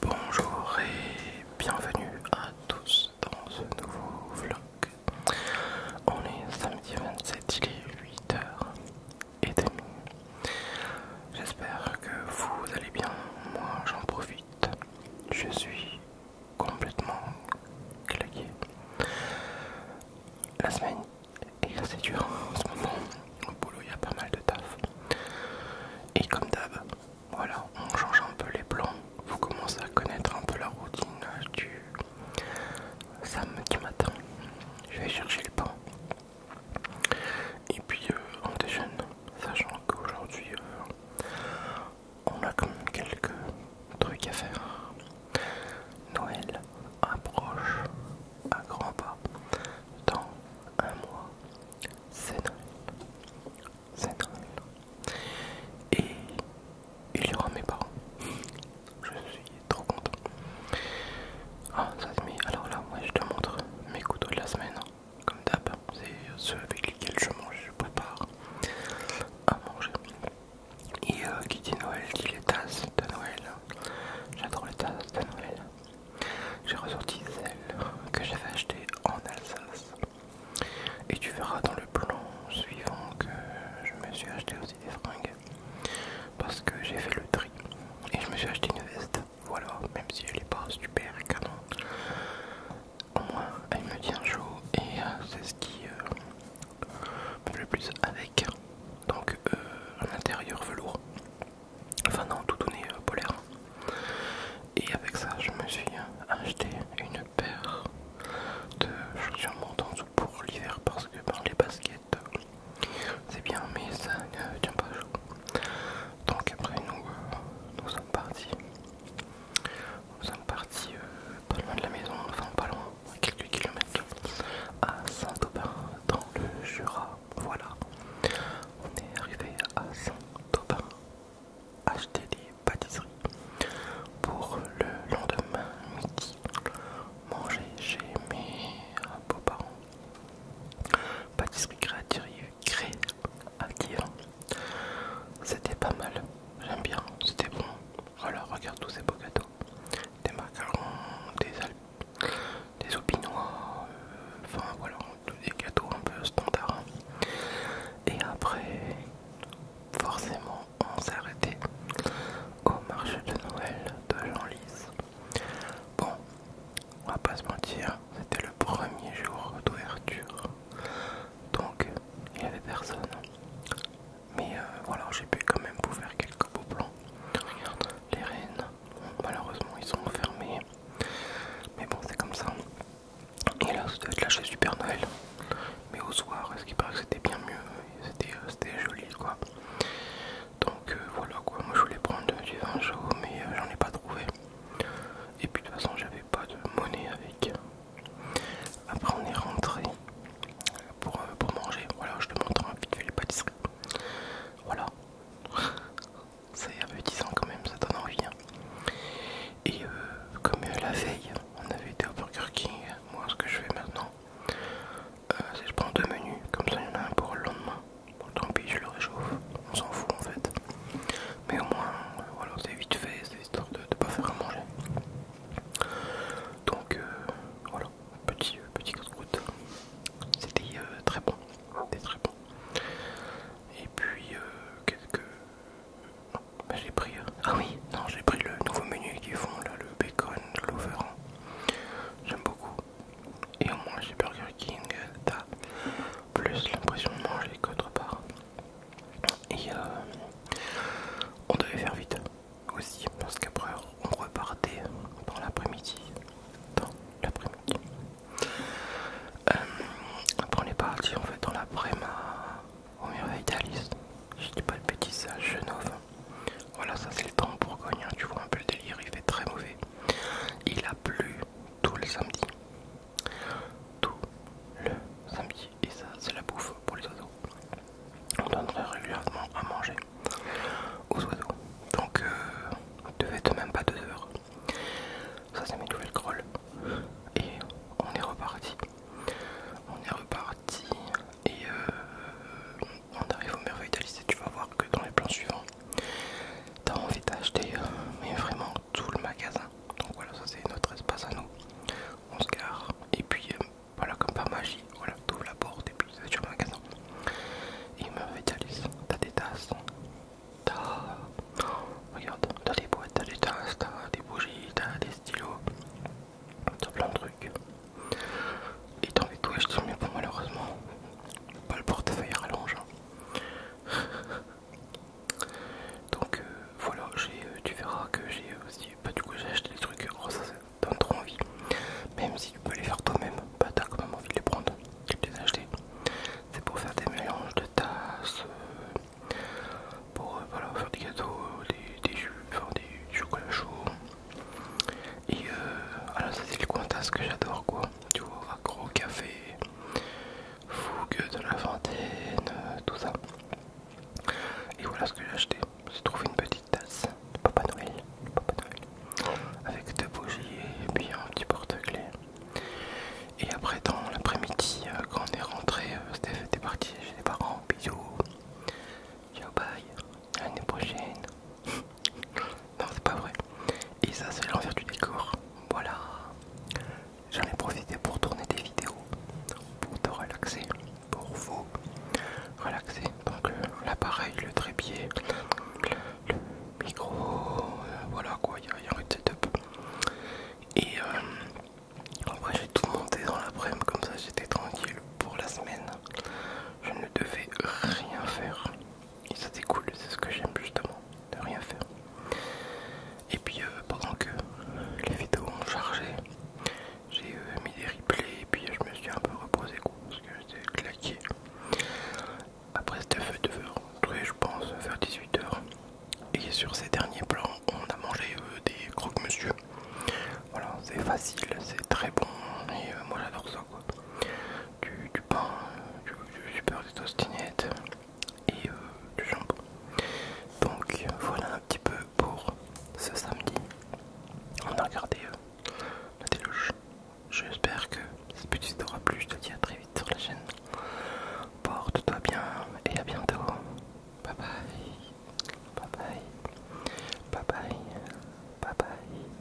Bonjour et bienvenue à tous dans ce nouveau vlog. On est samedi 27, il est 8h30. J'espère que vous allez bien, moi j'en profite. Je suis complètement claqué. La semaine est assez dure en ce moment. Au boulot, il y a pas mal de taf. Et comme d'hab, voilà, on change un peu les plans. Vous commencez à connaître un peu la routine euh, du samedi matin. Je vais chercher le pain. Et puis euh, on déjeune, sachant qu'aujourd'hui euh, on a quand même quelques trucs à faire. Noël approche à grands pas dans un mois c'est Noël. C'est Noël. Et il y aura mes parents. Je suis trop content. Ah, ça se Alors là, moi je te montre mes couteaux de la semaine. Hein. Comme d'hab, c'est ceux avec lesquels je mange, je prépare à manger. Et qui euh, dit Noël dit les tasses de Noël. J'adore les tasses de Noël. J'ai ressorti celle que j'avais acheté en Alsace. Et tu verras dans le plan suivant que je me suis acheté aussi des fringues. Parce que j'ai fait le tri. Et je me suis acheté une veste. Voilà, même si elle n'est pas super canon. Au moins, elle me tient chaud et euh, c'est ce qui euh, me plaît le plus avec. Euh, un intérieur velours, enfin non, tout donné euh, polaire. Et avec ça, je me suis acheté une paire de chaussures montantes pour l'hiver parce que ben, les baskets c'est bien, mais ça ne tient pas chaud. Donc, après, nous, euh, nous sommes partis. Nous sommes partis pas loin de la maison, enfin pas loin, quelques kilomètres, à Saint-Aubin, dans le Jura. Voilà, on est arrivé à Saint-Aubin, acheter des pâtisseries pour le lendemain midi, manger chez mes beaux-parents. Pâtisserie créative, créative. C'était pas mal, j'aime bien, c'était bon. Alors, regarde tous ces beaux gâteaux des macarons, des, alpines, des opinois, euh, enfin voilà, des gâteaux un peu standards. Hein. Et après, forcément, on s'est arrêté au marché de Noël de Jean-Lys. Bon, on va pas se mentir, c'était le premier jour d'ouverture, donc il y avait personne mais euh, voilà j'ai pu quand même vous faire quelques beaux plans regarde les rennes malheureusement ils sont fermés, mais bon c'est comme ça et là c'était doit être Super Noël mais au soir est-ce qu'il paraît que c'était bien mieux c'était euh, joli quoi donc euh, voilà quoi moi je voulais prendre du vin chaud mais j'en ai pas trouvé et puis de toute façon j'avais pas de monnaie avec après on est rentré euh, pour, manger. Voilà, je te montre vite fait les pâtisseries. Voilà. C'est appétissant quand même, ça donne envie. Hein. Et euh, comme euh, la veille, on avait été au Burger King, moi ce que je fais maintenant, c'est que je prends deux menus, comme ça il y en a un pour le lendemain. tant pis, je le réchauffe, on s'en fout en fait. Mais au moins, voilà, c'est vite fait, c'est histoire de ne pas faire à manger. Donc euh, voilà, petit euh, petit C'était euh, très bon, très bon. Et puis quelques... Bah, j'ai pris... Ah oui, non, j'ai pris le nouveau menu qu'ils font là, le bacon lover. J'aime beaucoup. Et au moins chez Burger King, t'as plus l'impression de manger qu'autre part. Et euh, on devait faire vite aussi, parce qu'après on repartait dans l'après-midi. Dans l'après-midi. Euh, après on est parti en fait dans l'après-midi au merveille d'Alice. Je dis pas le bêtises à Genève. Voilà, ça c'est le temps pour Bourgogne, hein, tu vois un peu le délire, il fait très mauvais. Il a plu tout le samedi. Tout le samedi et ça c'est la bouffe pour les oiseaux. On donne régulièrement à manger aux oiseaux. Donc euh, devez même pas deux heures. Ça c'est mes nouvelles crolles. Et on est reparti. On est reparti et euh, on arrive au merveille d'Alice et tu vas voir que dans les plans suivants, t'as envie d'acheter mais vraiment tout le magasin. Donc voilà, ça c'est notre espace à nous. On se gare et puis euh, voilà, comme par magie, voilà, tout la porte et puis c'est sur le magasin. Et il me fait Alice, t'as des tasses, t'as. Oh, regarde, t'as des boîtes, t'as des tasses, t'as des bougies, t'as des stylos, t'as plein de trucs. Et t'as envie de tout acheter, mais bon, malheureusement, pas le portefeuille à rallonge. Hein. Donc euh, voilà, euh, tu verras que j'ai euh, aussi, bah du coup j'ai acheté des trucs, oh, ça, ça donne trop envie. Même si tu peux les faire toi-même, bah t'as quand même envie de les prendre, tu les acheter. C'est pour faire des mélanges de tasses, pour faire des gâteaux, des, jus, des, chocolats chocolat chaud. Et alors ah, ça c'est le coin tasse que j'adore quoi, tu vois, accro café. Fougue de la Fontaine, tout ça. Et voilà ce que j'ai acheté. J'ai trouvé une petite tasse de Papa Noël, Papa Noël avec deux bougies et puis un petit porte-clés. Et après, dans l'après-midi, euh, quand on est rentré, euh, Steph était parti chez les parents. Bisous, ciao, bye, l'année prochaine. non, c'est pas vrai. Et ça c'est l'envers du décor. Voilà. J'en ai profité pour tourner des vidéos, pour te relaxer, pour vous relaxer. Donc euh, l'appareil, le trépied, le micro, euh, voilà quoi, il y, a un setup. Et euh, après j'ai tout monté dans l'après-midi, comme ça j'étais tranquille pour la semaine. Je ne devais rien faire. Et ça c'est cool, c'est ce que j'aime justement, de rien faire. Et puis euh, pendant que les vidéos ont chargé, j'ai euh, mis des replays et puis je me suis un peu reposé quoi, parce que j'étais claqué. Après c'était 2 h je pense vers 18h. Et sur ces derniers plans, on a mangé euh, des croque-monsieur. Voilà, c'est facile, c'est très bon et moi j'adore ça. Du, pain, du, super et euh, du jambon. Donc voilà un petit peu pour ce samedi. On a regardé euh, la déluge. J'espère que cette petite aura plu. Je te dis à très vite sur la chaîne. Porte-toi bien et à bientôt. Bye bye. Bye bye. Bye bye. Bye bye.